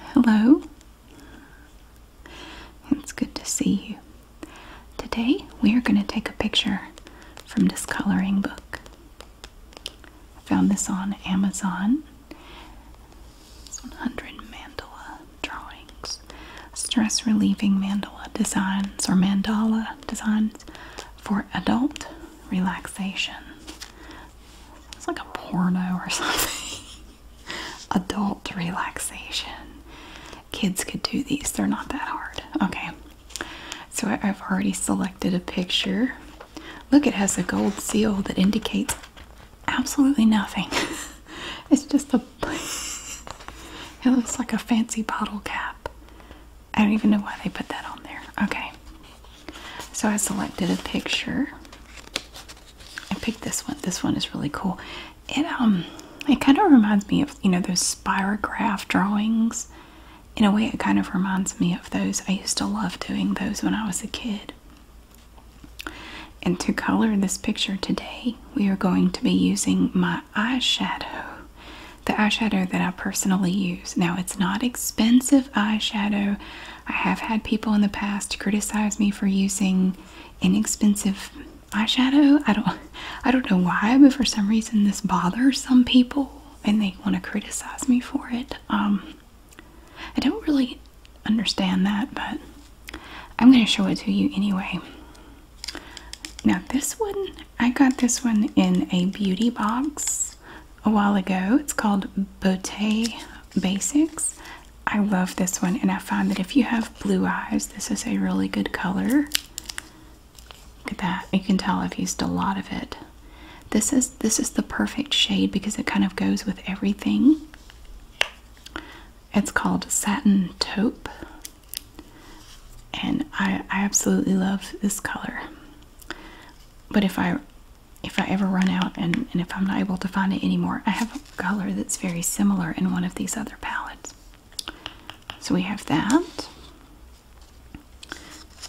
Hello. It's good to see you. Today we are going to take a picture from this coloring book. found this on Amazon. 100 mandala drawings. Stress relieving mandala designs or mandala designs for adult relaxation. It's like a porno or something. adult relaxation. Kids could do these, they're not that hard. Okay, so I've already selected a picture. Look, it has a gold seal that indicates absolutely nothing. it's just a. it looks like a fancy bottle cap. I don't even know why they put that on there. Okay. So I selected a picture. I picked this one. This one is really cool. It um it kind of reminds me of, you know, those spirograph drawings. In a way it kind of reminds me of those. I used to love doing those when I was a kid. And to color this picture today, we are going to be using my eyeshadow. The eyeshadow that I personally use. Now, it's not expensive eyeshadow. I have had people in the past criticize me for using inexpensive eyeshadow. I don't I don't know why, but for some reason this bothers some people and they want to criticize me for it. Um I don't really understand that, but I'm going to show it to you anyway. Now, this one I got this one in a beauty box a while ago. It's called Beauté Basics. I love this one, and I find that if you have blue eyes, this is a really good color. Look at that. You can tell I've used a lot of it. This is this is the perfect shade because it kind of goes with everything. It's called Satin Taupe. And I, I absolutely love this color. But if I if I ever run out and, and if I'm not able to find it anymore, I have a color that's very similar in one of these other palettes. So we have that.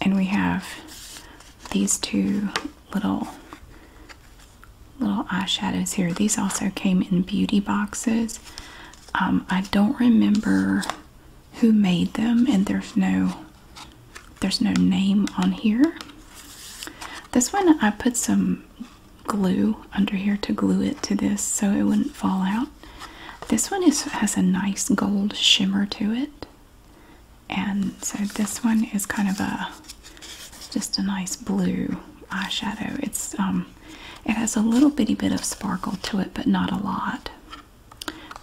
And we have these two little little eyeshadows here. These also came in beauty boxes. Um, I don't remember who made them and there's no there's no name on here. This one I put some glue under here to glue it to this so it wouldn't fall out. This one is has a nice gold shimmer to it. And so this one is kind of a just a nice blue eyeshadow. It's um it has a little bitty bit of sparkle to it, but not a lot.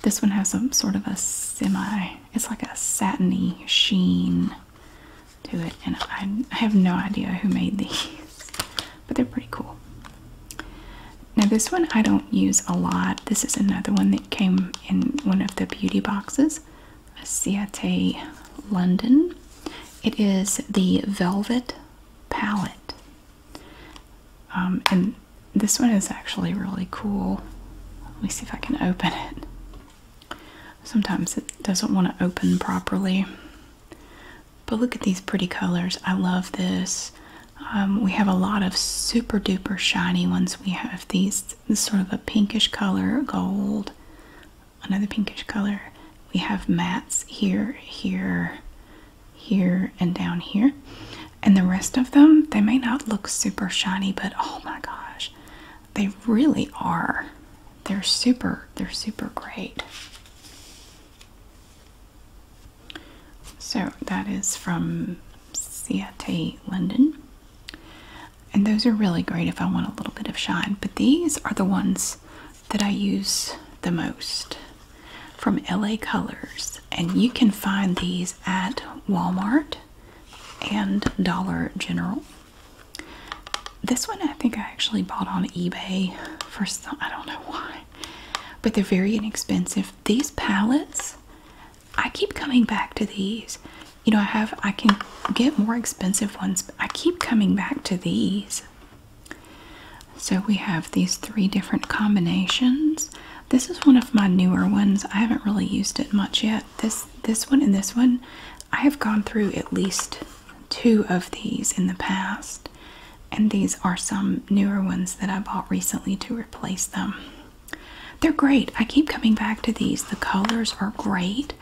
This one has some sort of a semi, it's like a satiny sheen to it, and I, have no idea who made these, but they're pretty cool. Now, this one I don't use a lot. This is another one that came in one of the beauty boxes, a Ciate London. It is the Velvet Palette. Um, and this one is actually really cool. Let me see if I can open it. Sometimes it doesn't want to open properly. But look at these pretty colors. I love this. Um, we have a lot of super duper shiny ones. We have these, sort of a pinkish color, gold, another pinkish color. We have mats here, here, here and down here and the rest of them they may not look super shiny but oh my gosh they really are they're super they're super great so that is from CIT London and those are really great if I want a little bit of shine but these are the ones that I use the most from LA Colors, and you can find these at Walmart and Dollar General. This one I think I actually bought on eBay for some, I don't know why, but they're very inexpensive. These palettes, I keep coming back to these. You know, I have, I can get more expensive ones, but I keep coming back to these. So we have these three different combinations. This is one of my newer ones. I haven't really used it much yet. This this one and this one, I have gone through at least two of these in the past. And these are some newer ones that I bought recently to replace them. They're great. I keep coming back to these. The colors are great.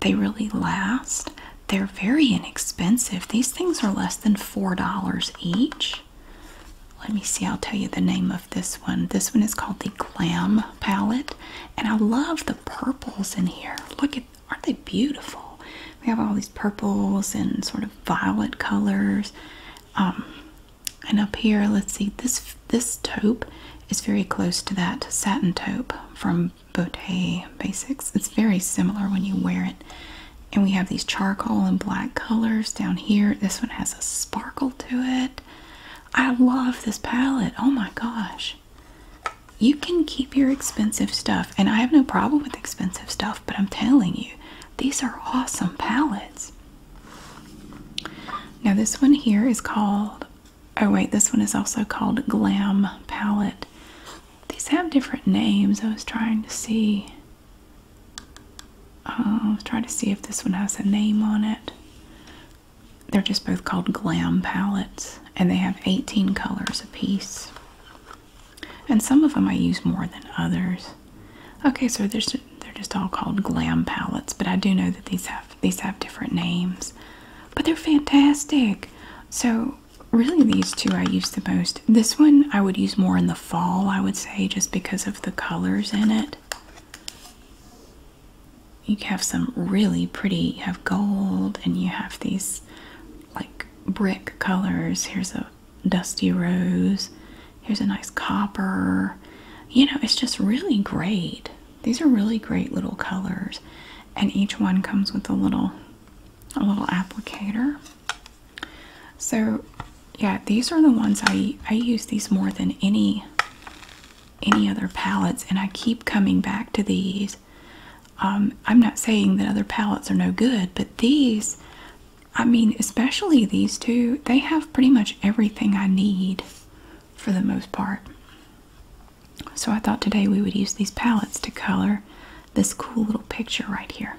They really last. They're very inexpensive. These things are less than $4 each. Let me see, I'll tell you the name of this one. This one is called the Glam Palette. And I love the purples in here. Look at, aren't they beautiful? We have all these purples and sort of violet colors. Um, and up here, let's see, this this taupe is very close to that satin taupe from Bottega Basics. It's very similar when you wear it and we have these charcoal and black colors down here. This one has a sparkle to it. I love this palette. Oh my gosh. You can keep your expensive stuff, and I have no problem with expensive stuff, but I'm telling you, these are awesome palettes. Now, this one here is called, oh, wait, this one is also called Glam Palette. These have different names. I was trying to see. I'll uh, try to see if this one has a name on it. They're just both called Glam palettes, and they have 18 colors a piece. And some of them I use more than others. Okay, so they're just, all called Glam palettes, but I do know that these have these have different names. But they're fantastic. So really, these two I use the most this one I would use more in the fall, I would say, just because of the colors in it. You have some really pretty, you have gold and you have these like brick colors. Here's a dusty rose. Here's a nice copper. You know, it's just really great. These are really great little colors. And each one comes with a little a little applicator. So yeah, these are the ones I I use these more than any any other palettes and I keep coming back to these. Um, I'm not saying that other palettes are no good, but these, I mean, especially these two, they have pretty much everything I need for the most part. So I thought today we would use these palettes to color this cool little picture right here.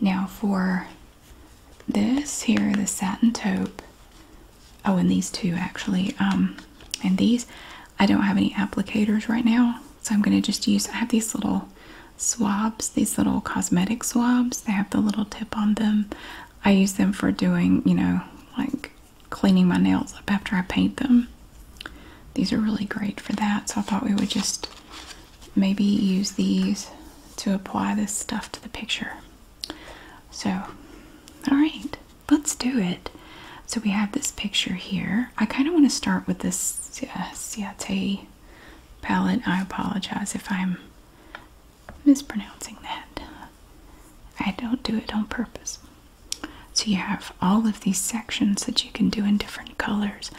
Now for this here, the satin taupe. Oh, and these two actually. Um, and these, I don't have any applicators right now, so I'm gonna just use. I have these little swabs, these little cosmetic swabs. They have the little tip on them. I use them for doing, you know, like cleaning my nails up after I paint them. These are really great for that. So I thought we would just maybe use these to apply this stuff to the picture. So, all right, let's do it. So we have this picture here. I kind of want to start with this yeah, uh, Ciate palette. I apologize if I'm mispronouncing that. I don't do it on purpose. So you have all of these sections that you can do in different colors.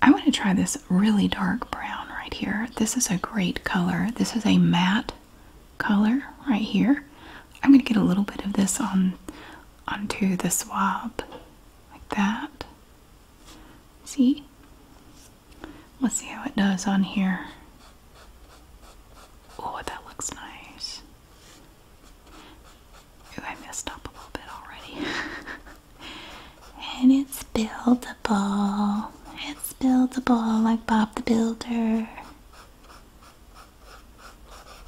I want to try this really dark brown right here. This is a great color. This is a matte color right here. I'm going to get a little bit of this on onto the swab like that. See? Let's see how it does on here. Oh, that looks nice. Ooh, I messed up a little bit already. And it's buildable. It's buildable like Bob the Builder.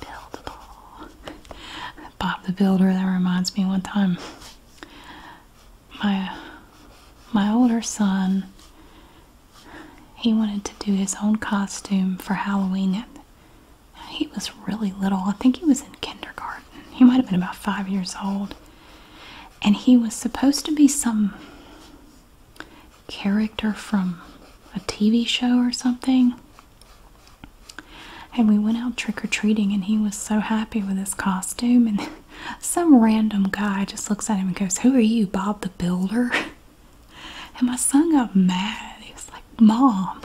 Buildable. Bob the Builder, that reminds me one time. My my older son he wanted to do his own costume for Halloween. He was really little. I think he was in kindergarten. He might have been about five years old and he was supposed to be some character from a TV show or something. And we went out trick or treating, and he was so happy with his costume. And some random guy just looks at him and goes, Who are you, Bob the Builder? And my son got mad. He was like, Mom,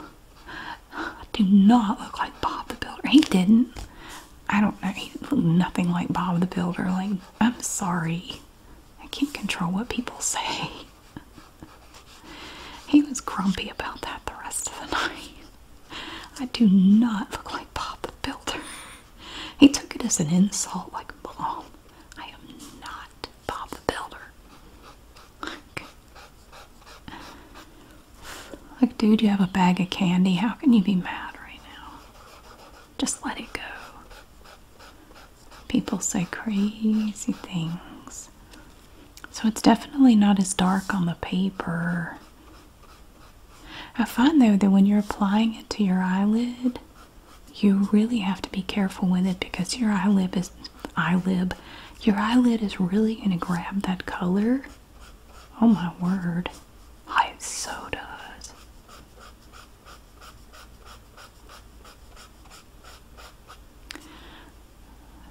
I do not look like Bob the Builder. He didn't. I don't know. He looked nothing like Bob the Builder. Like, I'm sorry. I can't control what people say. he was grumpy about that the rest of the night. I do not look like Bob the Builder. He took it as an insult, like, Mom, I am not Bob the Builder. Like, dude, you have a bag of candy. How can you be mad right now? Just let it go. People say crazy things. So it's definitely not as dark on the paper. I find though that when you're applying it to your eyelid, you really have to be careful with it because your eyelid is eyelid. Your eyelid is really going to grab that color Oh my word. I so does.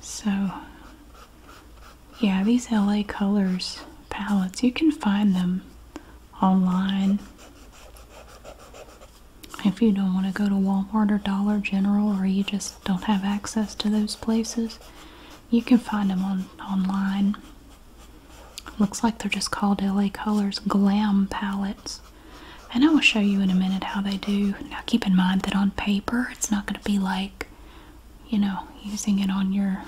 So, yeah, these LA Colors palettes, you can find them online. If you don't want to go to Walmart or Dollar General or you just don't have access to those places, you can find them on online. Looks like they're just called LA Colors Glam Palettes. And I will show you in a minute how they do. Now keep in mind that on paper it's not going to be like, you know, using it on your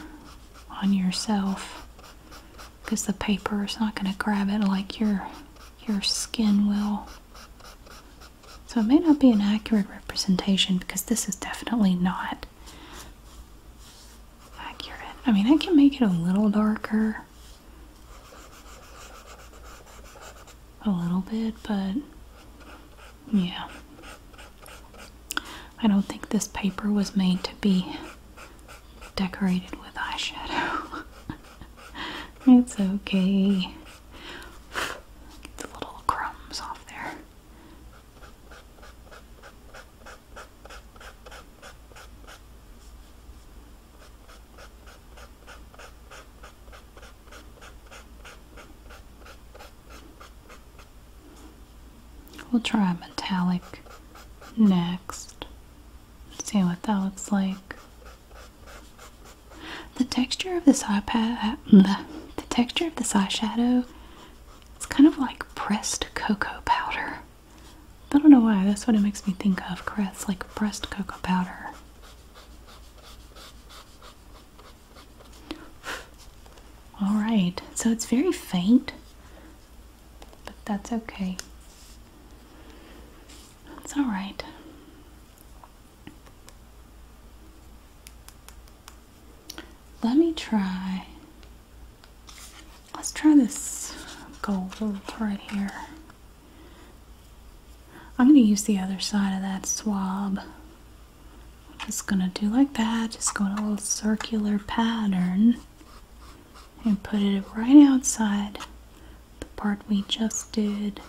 on yourself because the paper is not going to grab it like your your skin will. So it may not be an accurate representation because this is definitely not accurate. I mean, I can make it a little darker. A little bit, but yeah. I don't think this paper was made to be decorated with eyeshadow. it's okay. Get the little crumbs off there. We'll try metallic next. See what that looks like. The texture of this iPad, uh, the, texture of this eyeshadow it's kind of like pressed cocoa powder. I don't know why, that's what it makes me think of. Crest, like pressed cocoa powder. Alright, so it's very faint, but that's okay. That's alright. Let me try. Let's try this gold right here. I'm going to use the other side of that swab. just going to do like that, just go in a little circular pattern and put it right outside the part we just did.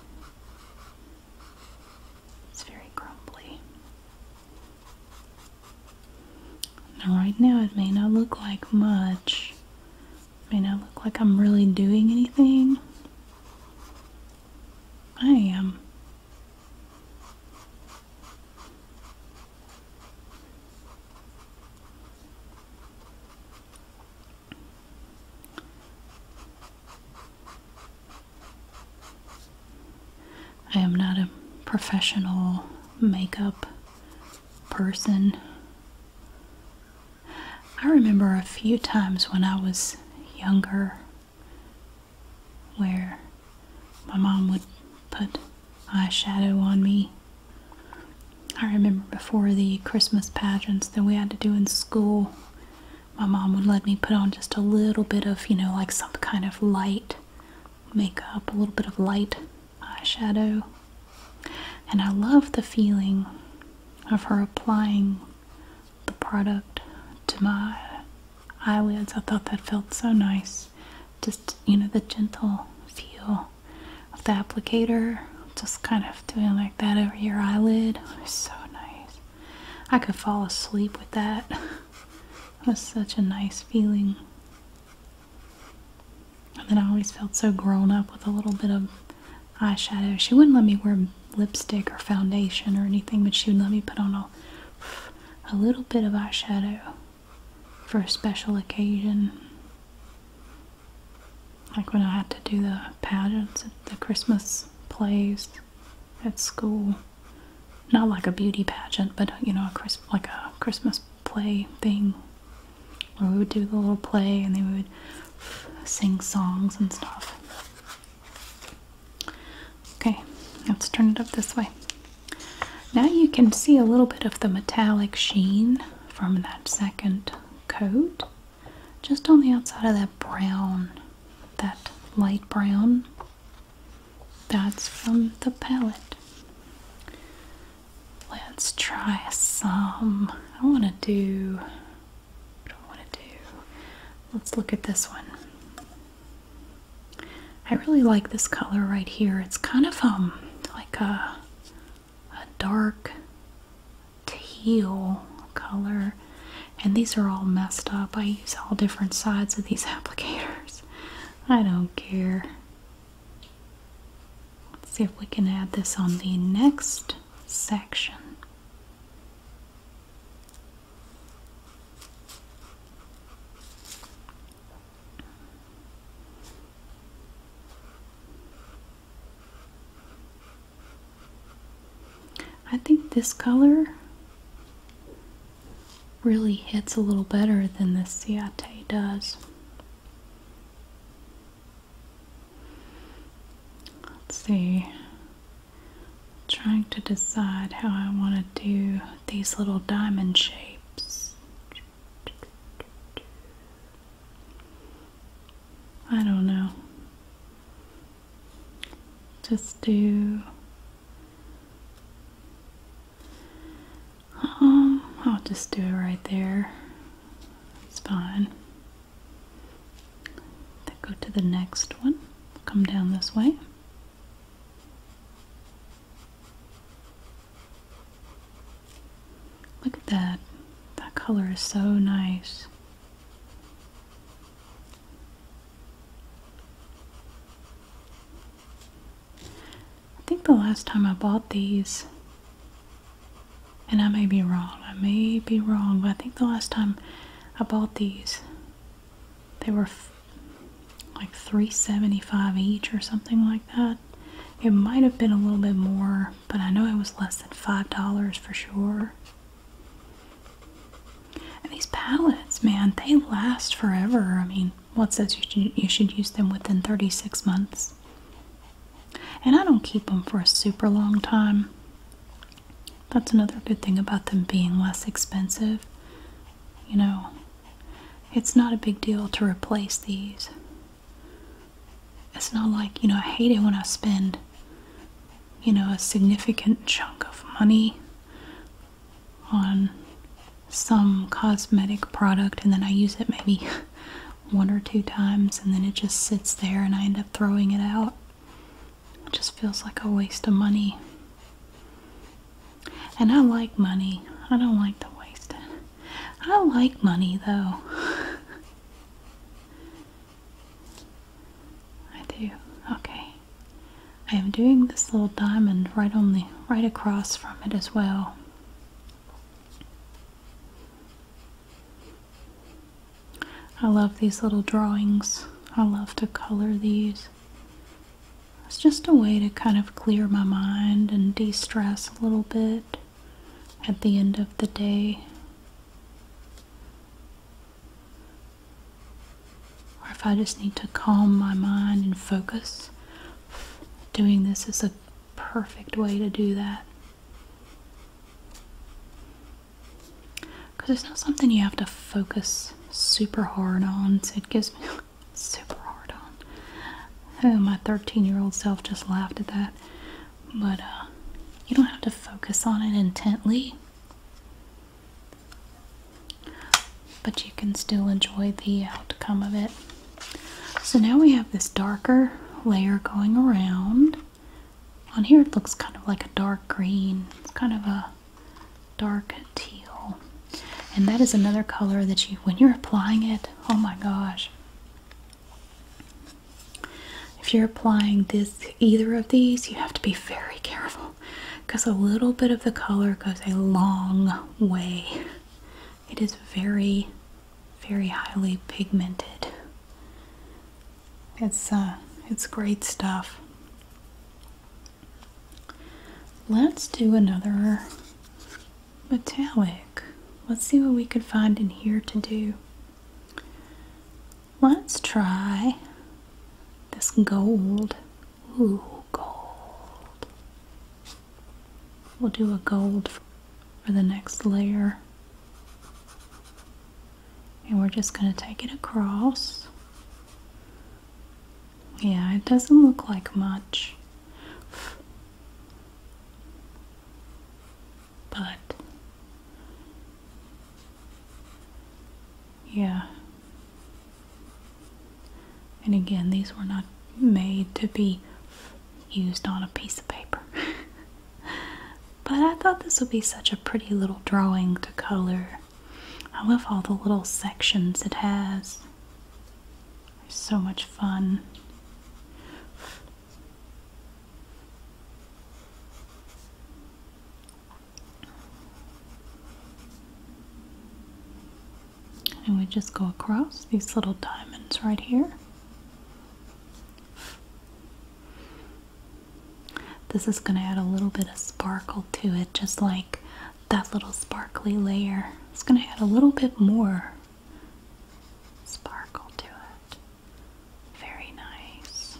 It's very crumbly right now, it may not look like much, may not look like I'm really doing anything. I am. I am not a professional makeup person. I remember a few times when I was younger where my mom would put eyeshadow on me. I remember before the Christmas pageants that we had to do in school, my mom would let me put on just a little bit of, you know, like some kind of light makeup, a little bit of light eyeshadow. And I love the feeling of her applying the product to my eyelids. I thought that felt so nice. Just, you know, the gentle feel of the applicator, just kind of doing like that over your eyelid. It so nice. I could fall asleep with that. It was such a nice feeling. And then I always felt so grown up with a little bit of eyeshadow. She wouldn't let me wear lipstick or foundation or anything, but she would let me put on a, a little bit of eyeshadow for a special occasion. Like when I had to do the pageants at the Christmas plays at school. Not like a beauty pageant, but uh, you know, a Chris like a Christmas play thing where we would do the little play and they would sing songs and stuff. Okay, let's turn it up this way. Now you can see a little bit of the metallic sheen from that second coat just on the outside of that brown, that light brown. That's from the palette. Let's try some. I want to do. I don't want to do. Let's look at this one. I really like this color right here. It's kind of um like a a dark teal color. And these are all messed up. I use all different sides of these applicators. I don't care. Let's see if we can add this on the next section. I think this color really hits a little better than the ciate does. Let's see. trying to decide how I want to do these little diamond shapes. I don't know. Just do um, I'll just do it right there. It's fine. Then go to the next one. Come down this way. Look at that. That color is so nice. I think the last time I bought these, and I may be wrong, I may be wrong, but I think the last time I bought these, they were like 375 each or something like that. It might have been a little bit more, but I know it was less than $5 for sure. And these palettes, man, they last forever. I mean, regulation what says you should, you should use them within 36 months. And I don't keep them for a super long time. That's another good thing about them being less expensive. You know, it's not a big deal to replace these. It's not like, you know, I hate it when I spend, you know, a significant chunk of money on some cosmetic product and then I use it maybe one or two times and then it just sits there and I end up throwing it out. It just feels like a waste of money. And I like money. I don't like to waste it. I like money though. I do. Okay. I am doing this little diamond right on the right across from it as well. I love these little drawings. I love to color these. It's just a way to kind of clear my mind and de-stress a little bit at the end of the day or if I just need to calm my mind and focus, doing this is a perfect way to do that. Because it's not something you have to focus super hard on, it gives me super hard on. Oh, my 13 year old self just laughed at that. But uh, you don't have to focus on it intently but you can still enjoy the outcome of it. So now we have this darker layer going around. On here it looks kind of like a dark green. It's kind of a dark teal. And that is another color that you, when you're applying it, oh my gosh. If you're applying this, either of these, you have to be very careful because a little bit of the color goes a long way. It is very, very highly pigmented. It's uh, it's great stuff. Let's do another metallic. Let's see what we could find in here to do. Let's try this gold. Ooh, gold. We'll do a gold for the next layer. And we're just going to take it across. Yeah, it doesn't look like much. But yeah, and again, these were not made to be used on a piece of paper. but I thought this would be such a pretty little drawing to color. I love all the little sections it has. It's so much fun and we just go across these little diamonds right here. This is going to add a little bit of sparkle to it, just like that little sparkly layer. It's going to add a little bit more sparkle to it. Very nice.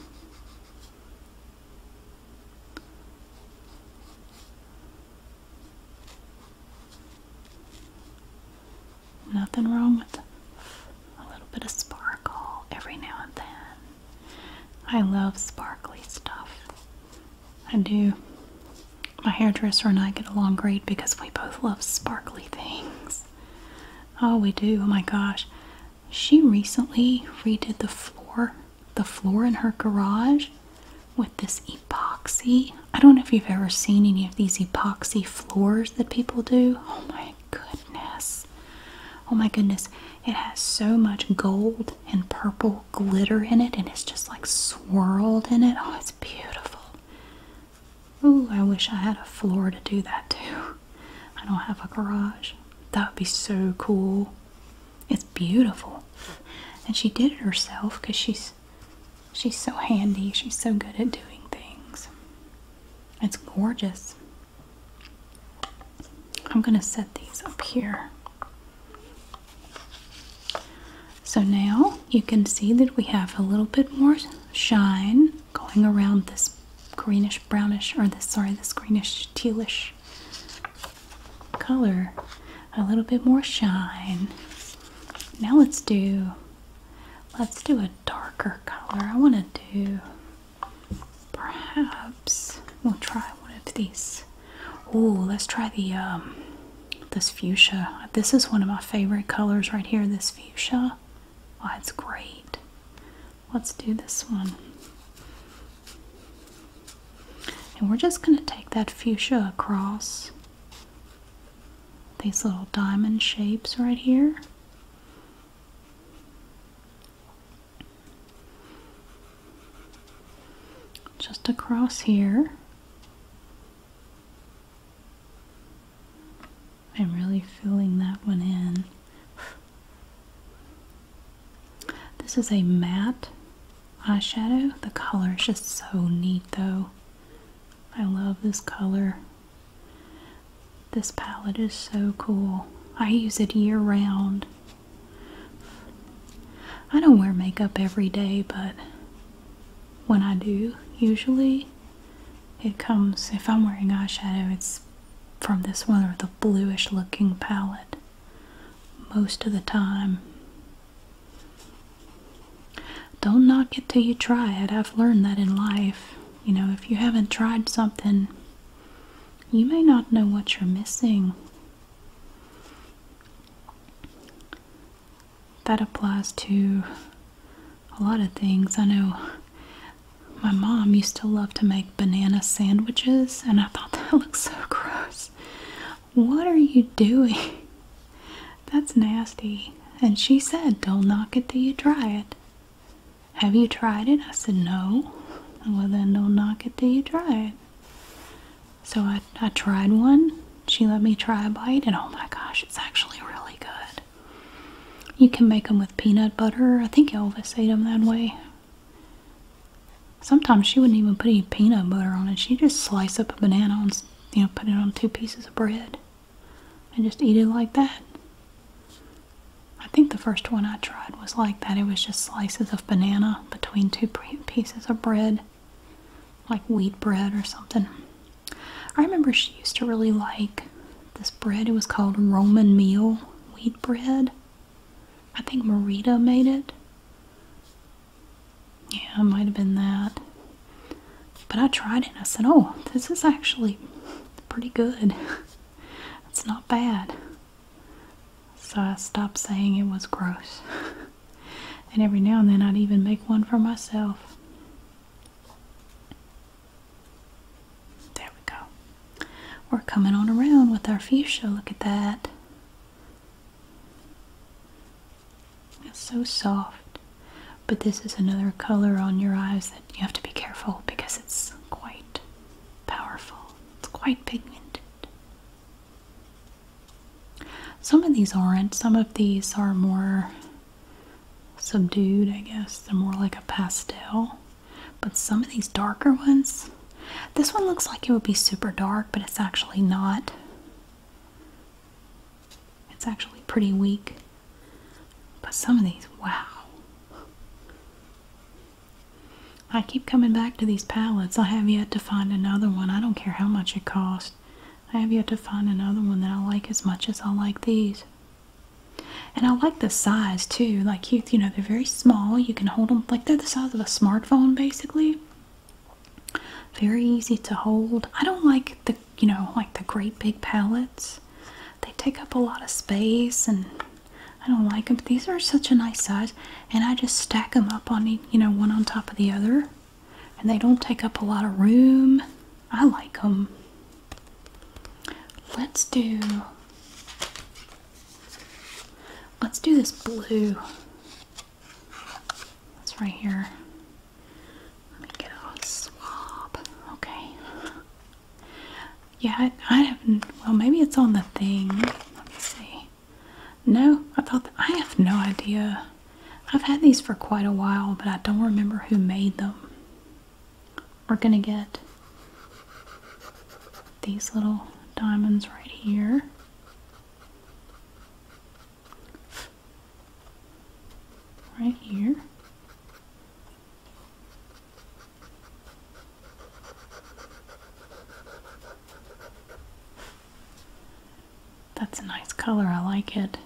Nothing wrong with a little bit of sparkle every now and then. I love sparkly stuff. I do. My hairdresser and I get along great because we both love sparkly things. Oh, we do. Oh my gosh. She recently redid the floor the floor in her garage with this epoxy. I don't know if you've ever seen any of these epoxy floors that people do. Oh my goodness. Oh my goodness. It has so much gold and purple glitter in it and it's just like swirled in it. Oh, it's beautiful. Ooh, I wish I had a floor to do that too. I don't have a garage. That would be so cool. It's beautiful. And she did it herself because she's she's so handy. She's so good at doing things. It's gorgeous. I'm going to set these up here. So now you can see that we have a little bit more shine going around this greenish brownish or this sorry this greenish tealish color a little bit more shine now let's do let's do a darker color i want to do perhaps we'll try one of these oh let's try the um, this fuchsia this is one of my favorite colors right here this fuchsia oh it's great let's do this one and we're just going to take that fuchsia across these little diamond shapes right here. Just across here. I'm really filling that one in. This is a matte eyeshadow. The color is just so neat though. I love this color. This palette is so cool. I use it year round. I don't wear makeup every day, but when I do, usually it comes, if I'm wearing eyeshadow, it's from this one or the bluish looking palette most of the time. Don't knock it till you try it. I've learned that in life. You know, if you haven't tried something, you may not know what you're missing. That applies to a lot of things. I know my mom used to love to make banana sandwiches, and I thought that looked so gross. What are you doing? That's nasty. And she said, Don't knock it till you try it. Have you tried it? I said, No. Well, then don't knock it till you try it. So I, I tried one. She let me try a bite, and oh my gosh, it's actually really good. You can make them with peanut butter. I think Elvis ate them that way. Sometimes she wouldn't even put any peanut butter on it. She'd just slice up a banana and you know put it on two pieces of bread and just eat it like that. I think the first one I tried was like that. It was just slices of banana between two pieces of bread, like wheat bread or something. I remember she used to really like this bread. It was called Roman meal wheat bread. I think Marita made it. Yeah, it might have been that. But I tried it I said, oh, this is actually pretty good. it's not bad. So I stopped saying it was gross. and every now and then I'd even make one for myself. There we go. We're coming on around with our fuchsia. Look at that. It's so soft. But this is another color on your eyes that you have to be careful because it's quite powerful. It's quite pigmented. Some of these aren't. Some of these are more subdued, I guess. They're more like a pastel. But some of these darker ones, this one looks like it would be super dark, but it's actually not. It's actually pretty weak. But some of these, wow. I keep coming back to these palettes. I have yet to find another one. I don't care how much it costs. I have yet to find another one that I like as much as I like these. And I like the size too. Like you, you know, they're very small. You can hold them like they're the size of a smartphone, basically. Very easy to hold. I don't like the, you know, like the great big palettes. They take up a lot of space and I don't like them. these are such a nice size and I just stack them up on, you know, one on top of the other. And they don't take up a lot of room. I like them. Let's do Let's do this blue. That's right here. Let me get a swab. Okay. Yeah, I, have Well, maybe it's on the thing. Let me see. No, I thought I have no idea. I've had these for quite a while, but I don't remember who made them. We're gonna get these little diamonds right here right here. That's a nice color, I like it.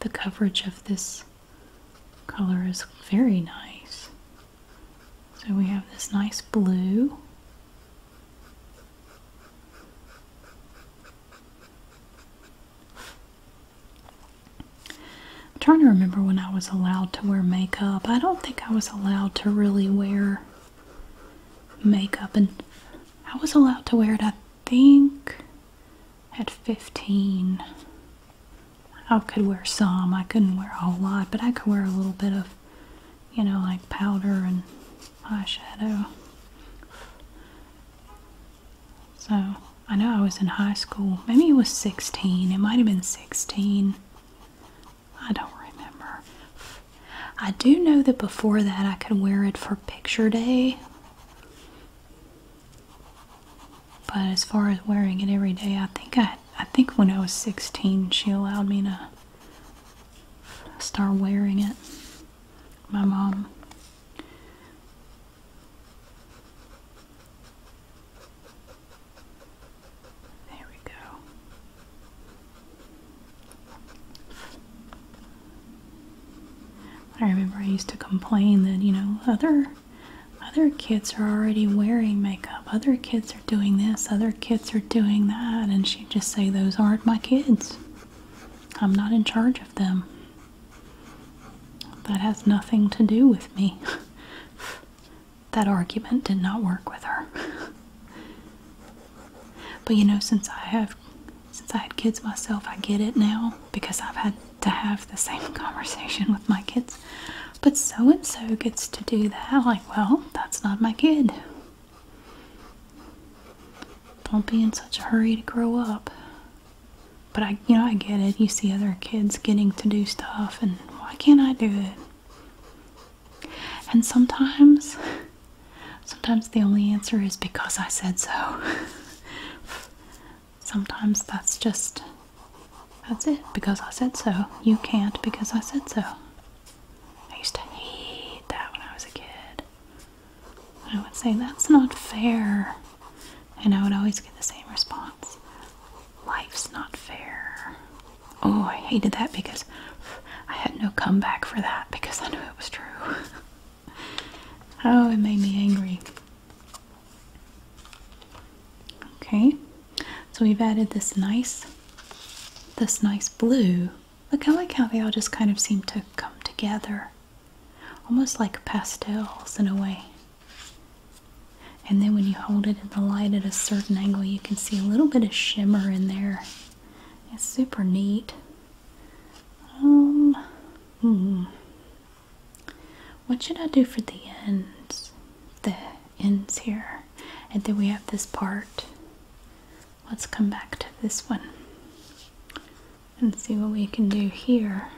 The coverage of this color is very nice. So we have this nice blue. trying to remember when I was allowed to wear makeup. I don't think I was allowed to really wear makeup and I was allowed to wear it I think at 15 I could wear some. I couldn't wear a whole lot, but I could wear a little bit of, you know, like powder and eyeshadow. So, I know I was in high school. Maybe it was 16. It might have been 16. I don't remember. I do know that before that I could wear it for picture day. But as far as wearing it every day, I think I I think when I was 16 she allowed me to start wearing it. My mom. There we go. I remember I used to complain that, you know, other other kids are already wearing makeup. Other kids are doing this. Other kids are doing that. And she'd just say, Those aren't my kids. I'm not in charge of them. That has nothing to do with me. that argument did not work with her. but you know, since I have since I had kids myself, I get it now because I've had to have the same conversation with my kids. But so and so gets to do that. Like, well, that's not my kid. Don't be in such a hurry to grow up. But I, you know, I get it. You see other kids getting to do stuff, and why can't I do it? And sometimes, sometimes the only answer is because I said so. sometimes that's just that's it because I said so. You can't because I said so. I used to hate that when I was a kid. I would say that's not fair. And I would always get the same response. Life's not fair. Oh, I hated that because I had no comeback for that because I knew it was true. oh, it made me angry. Okay, so we've added this nice, this nice blue. Look, how like how they all just kind of seem to come together, almost like pastels in a way. And then when you hold it in the light at a certain angle, you can see a little bit of shimmer in there. It's super neat. Um, hmm. What should I do for the ends? The ends here. And then we have this part. Let's come back to this one and see what we can do here.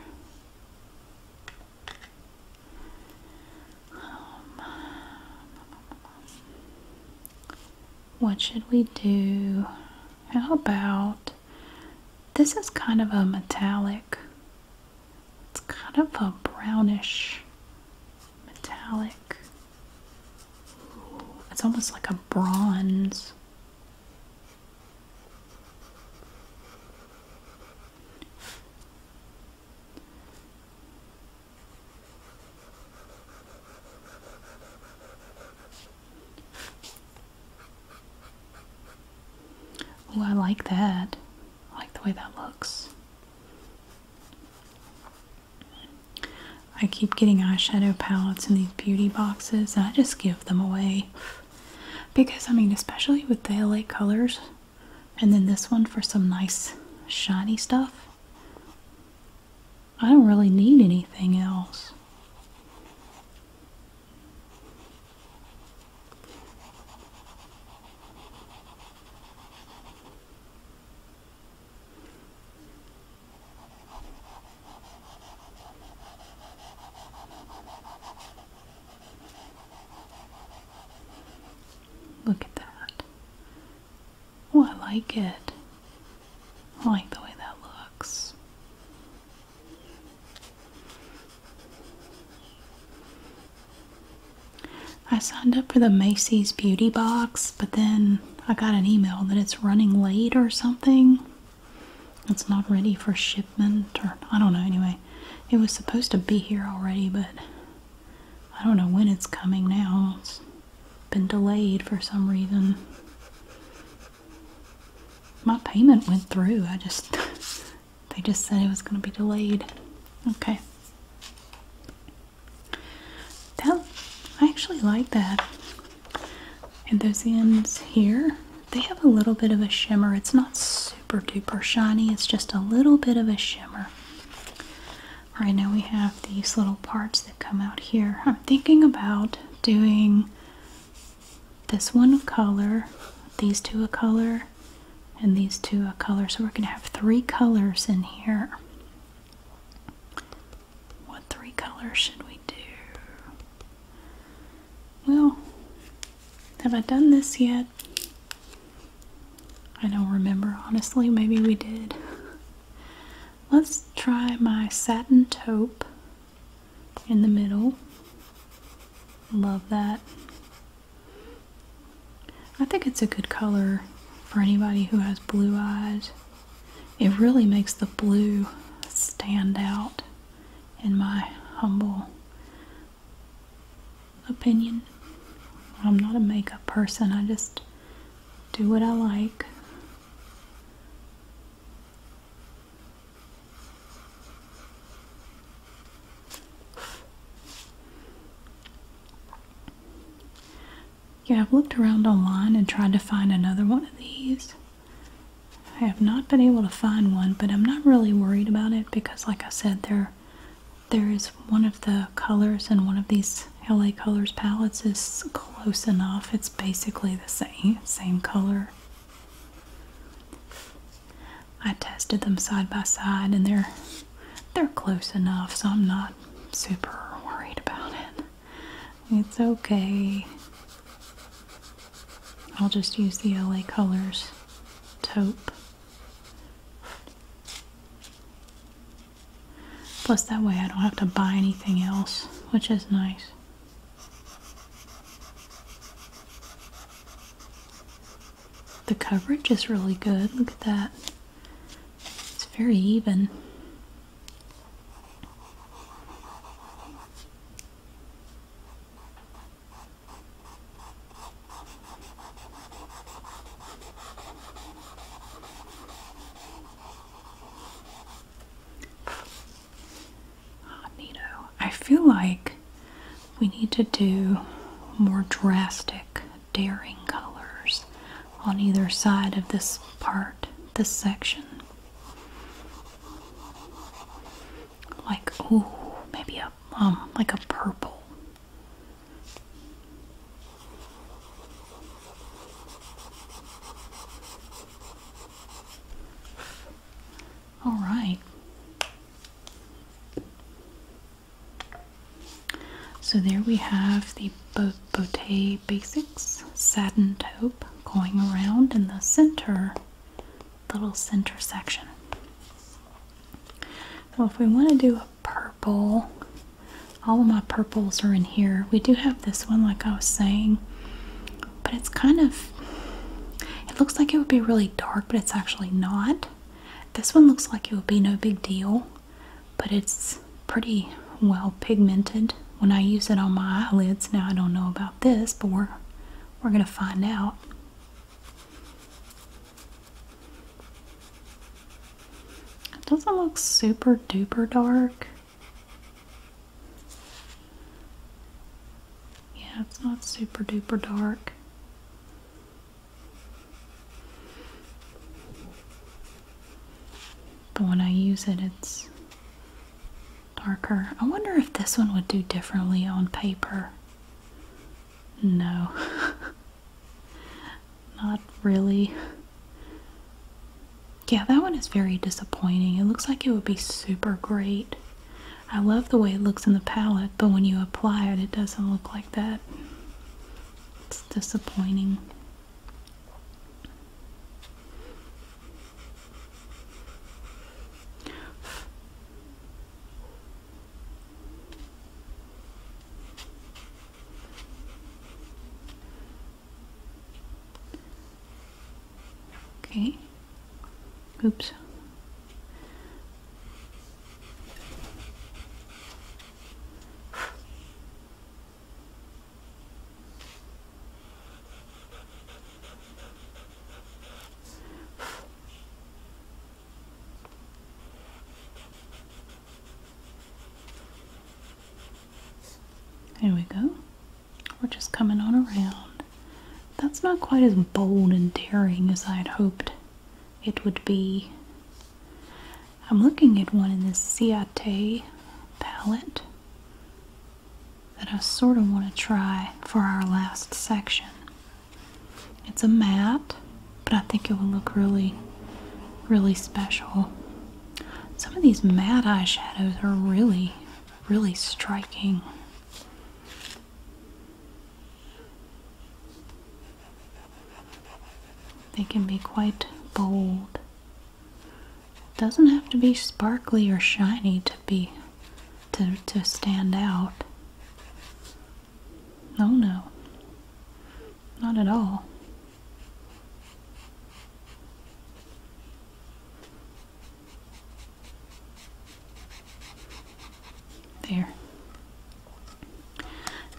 what should we do? How about this is kind of a metallic it's kind of a brownish metallic. it's almost like a bronze. Oh, I like that. I like the way that looks. I keep getting eyeshadow palettes in these beauty boxes, and I just give them away. Because, I mean, especially with the LA colors, and then this one for some nice shiny stuff, I don't really need anything else. Look at that. Oh, I like it. I like the way that looks. I signed up for the Macy's Beauty Box, but then I got an email that it's running late or something. It's not ready for shipment, or I don't know, anyway. It was supposed to be here already, but I don't know when it's coming now. It's been delayed for some reason. My payment went through. I just They just said it was going to be delayed. Okay. That, I actually like that. And those ends here, they have a little bit of a shimmer. It's not super duper shiny, it's just a little bit of a shimmer. All right. now we have these little parts that come out here. I'm thinking about doing this one of color, these two of color, and these two a color. So we're going to have three colors in here. What three colors should we do? Well, have I done this yet? I don't remember, honestly. Maybe we did. Let's try my satin taupe in the middle. Love that. I think it's a good color for anybody who has blue eyes. It really makes the blue stand out, in my humble opinion. I'm not a makeup person, I just do what I like. Yeah, I've looked around online and tried to find another one of these. I have not been able to find one, but I'm not really worried about it because like I said, there there is one of the colors and one of these LA Colors palettes is close enough. It's basically the same same color. I tested them side by side and they're they're close enough so I'm not super worried about it. It's okay. I'll just use the LA Colors taupe. Plus that way I don't have to buy anything else, which is nice the coverage is really good. Look at that. It's very even. Oh, I feel like we need to do more drastic, daring colors on either side of this part, this section. Like, ooh, maybe a um, like a purple. All right. So there we have the Bo Botte Basics satin taupe going around in the center, little center section. So if we want to do a purple, all of my purples are in here. We do have this one, like I was saying, but it's kind of, it looks like it would be really dark, but it's actually not. This one looks like it would be no big deal, but it's pretty well pigmented when I use it on my eyelids. Now I don't know about this, but we're we're gonna find out. It doesn't look super duper dark. Yeah, it's not super duper dark. But when I use it, it's darker. I wonder if this one would do differently on paper. No. Not really. Yeah, that one is very disappointing. It looks like it would be super great I love the way it looks in the palette, but when you apply it, it doesn't look like that. It's disappointing. Okay. Oops. There we go. We're just coming on around. That's not quite as bold and daring as I had hoped it would be. I'm looking at one in this Ciate palette that I sort of want to try for our last section. It's a matte, but I think it will look really, really special. Some of these matte eyeshadows are really, really striking. They can be quite bold. It doesn't have to be sparkly or shiny to be to to stand out. No, no. Not at all. There.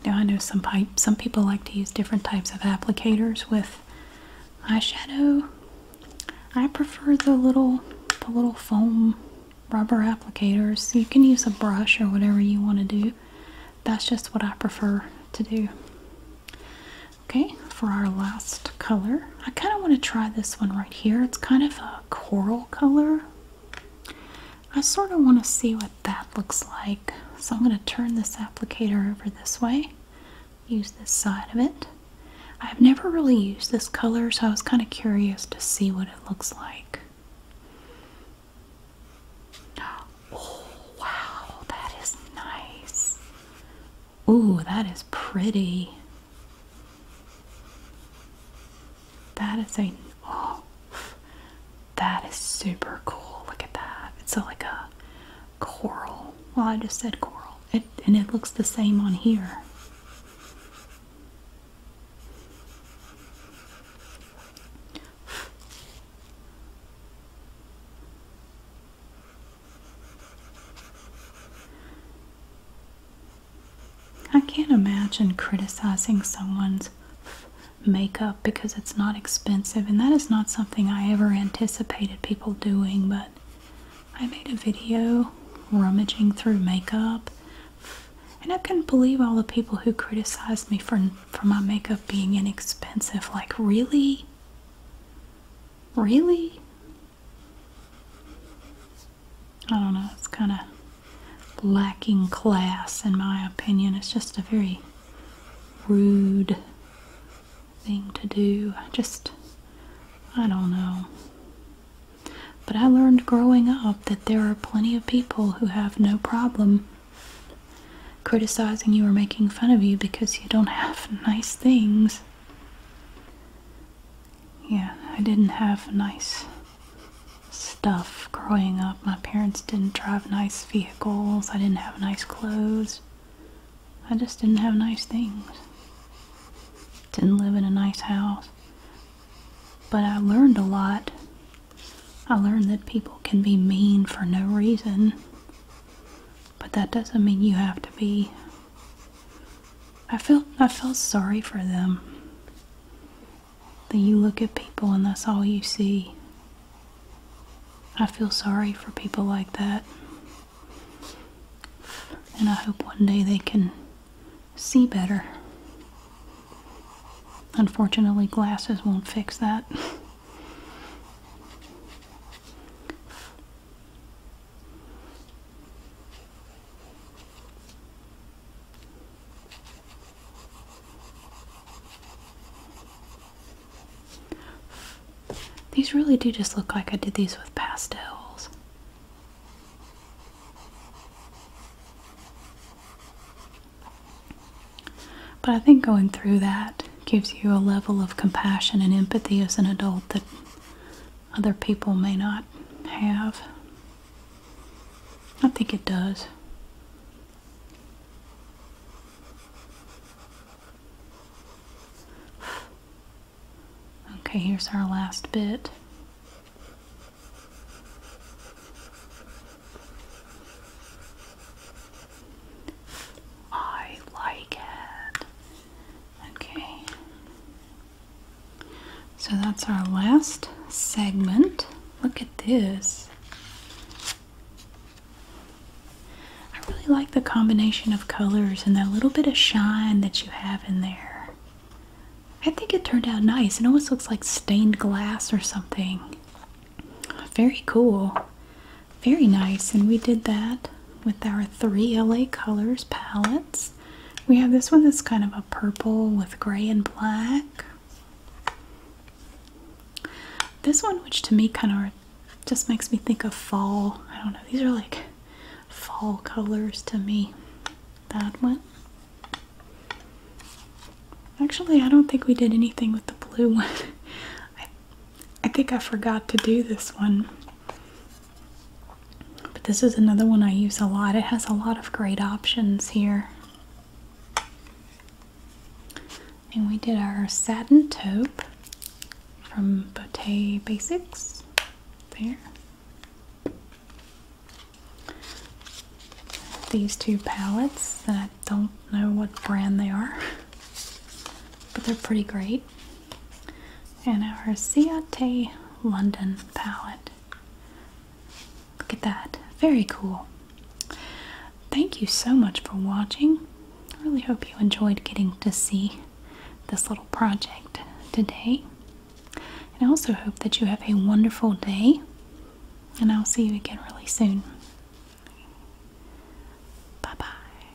Now I know some pipe, some people like to use different types of applicators with eyeshadow. I prefer the little the little foam rubber applicators. You can use a brush or whatever you want to do. That's just what I prefer to do. Okay, for our last color, I kind of want to try this one right here. It's kind of a coral color, I sort of want to see what that looks like. So I'm going to turn this applicator over this way, use this side of it. I've never really used this color, so I was kind of curious to see what it looks like. Oh, wow, that is nice. Ooh, that is pretty. That is a oh, that is super cool. Look at that. It's like a coral. Well, I just said coral, and it looks the same on here. I can't imagine criticizing someone's makeup because it's not expensive, and that is not something I ever anticipated people doing. But I made a video rummaging through makeup, and I couldn't believe all the people who criticized me for, for my makeup being inexpensive. Like, really? Really? I don't know, it's kind of lacking class in my opinion. It's just a very rude thing to do. I just, I don't know. But I learned growing up that there are plenty of people who have no problem criticizing you or making fun of you because you don't have nice things. Yeah, I didn't have nice stuff growing up. My parents didn't drive nice vehicles, I didn't have nice clothes, I just didn't have nice things. Didn't live in a nice house. But I learned a lot. I learned that people can be mean for no reason, but that doesn't mean you have to be. I felt I felt sorry for them that you look at people and that's all you see. I feel sorry for people like that. And I hope one day they can see better. Unfortunately, glasses won't fix that. These really do just look like I did these with pastels. But I think going through that gives you a level of compassion and empathy as an adult that other people may not have. I think it does. Okay, here's our last bit. I like it. Okay. So that's our last segment. Look at this. I really like the combination of colors and that little bit of shine that you have in there. I think it turned out nice. It almost looks like stained glass or something. Very cool. Very nice. And we did that with our three LA Colors palettes. We have this one that's kind of a purple with gray and black. This one, which to me kind of just makes me think of fall. I don't know. These are like fall colors to me. That one. Actually, I don't think we did anything with the blue one. I, I think I forgot to do this one. But this is another one I use a lot. It has a lot of great options here. And we did our satin taupe from Bottega Basics. There. These two palettes I don't know what brand they are, but they're pretty great. And our Ciate London palette Look at that. Very cool. Thank you so much for watching. I really hope you enjoyed getting to see this little project today. And I also hope that you have a wonderful day. And I'll see you again really soon. Bye bye.